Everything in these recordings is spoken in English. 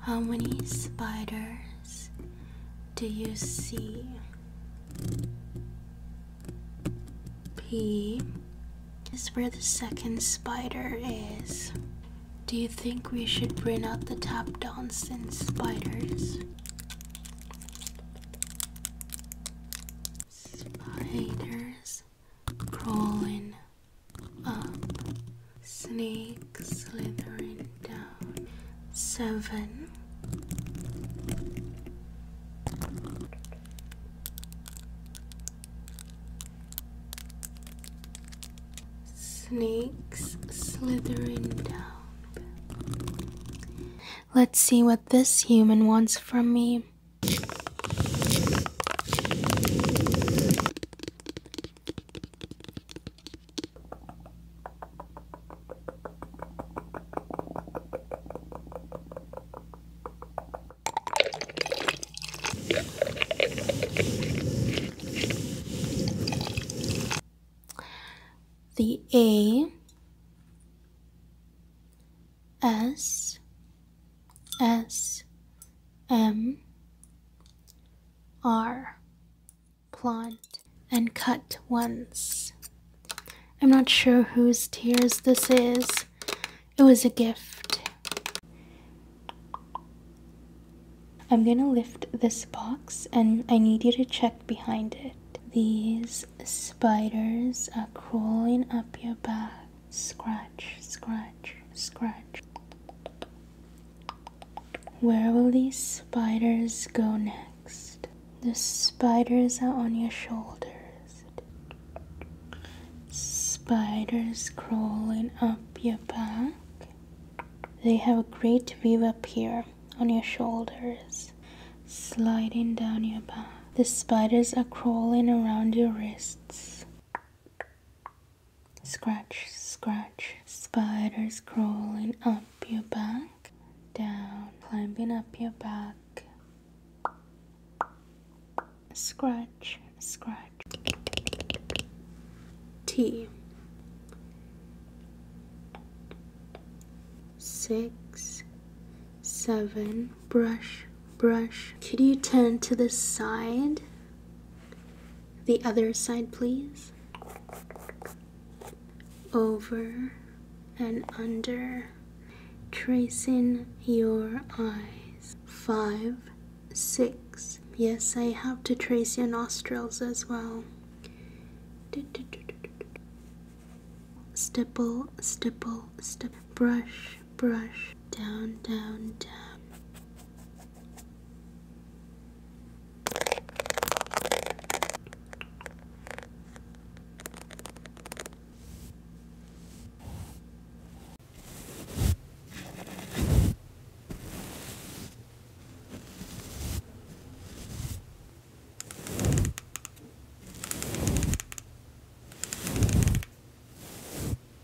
How many spiders do you see? P is where the second spider is. Do you think we should bring out the tap dance and spiders? Spiders crawling up, snake slithering down. Seven. Snakes slithering down. Let's see what this human wants from me. The A S S M are plant and cut once. I'm not sure whose tears this is. It was a gift. I'm gonna lift this box and I need you to check behind it. These spiders are crawling up your back. Scratch, scratch, scratch. Where will these spiders go next? The spiders are on your shoulders. Spiders crawling up your back. They have a great view up here on your shoulders, sliding down your back. The spiders are crawling around your wrists. Scratch, scratch, spiders crawling up your back, down, climbing up your back. Scratch, scratch. T. Six, seven, brush, brush. Could you turn to the side? The other side, please. Over and under, tracing your eyes. Five, six. Yes, I have to trace your nostrils as well. Stipple, stipple, stipple. Brush brush down, down, down.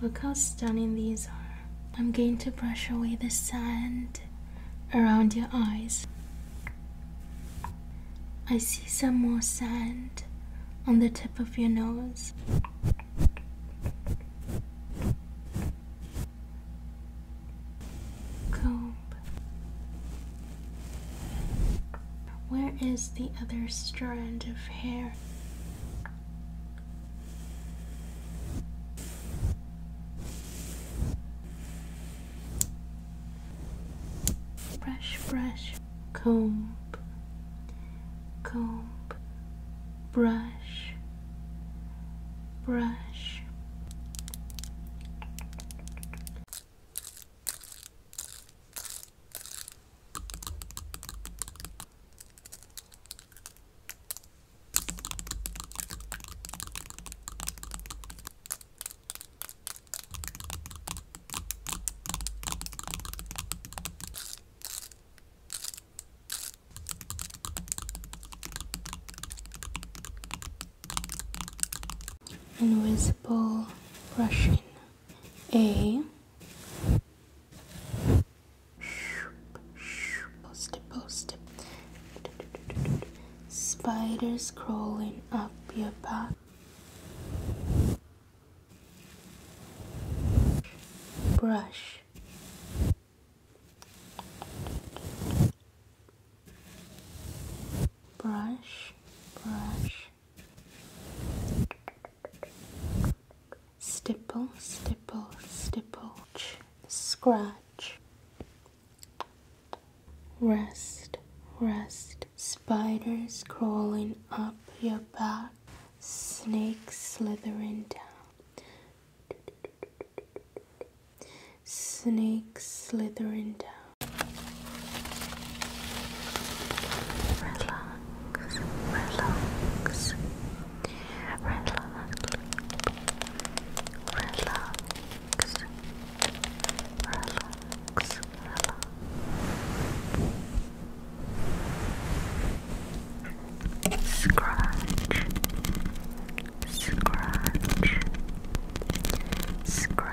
Look how stunning these are. I'm going to brush away the sand around your eyes. I see some more sand on the tip of your nose. Comb. Where is the other strand of hair? brush brush comb comb brush brush Invisible brushing A Post it, post it. Spiders crawling up your back. Brush. Brush, brush stipple, stipple, stipple, scratch, rest, rest, spiders crawling up your back, snakes slithering down, snakes slithering down relax, relax, relax, relax, relax, Scratch, scratch, scratch.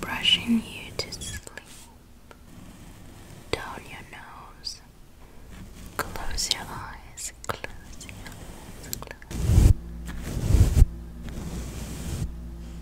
Brushing you to sleep down your nose. Close your eyes, close your eyes, close.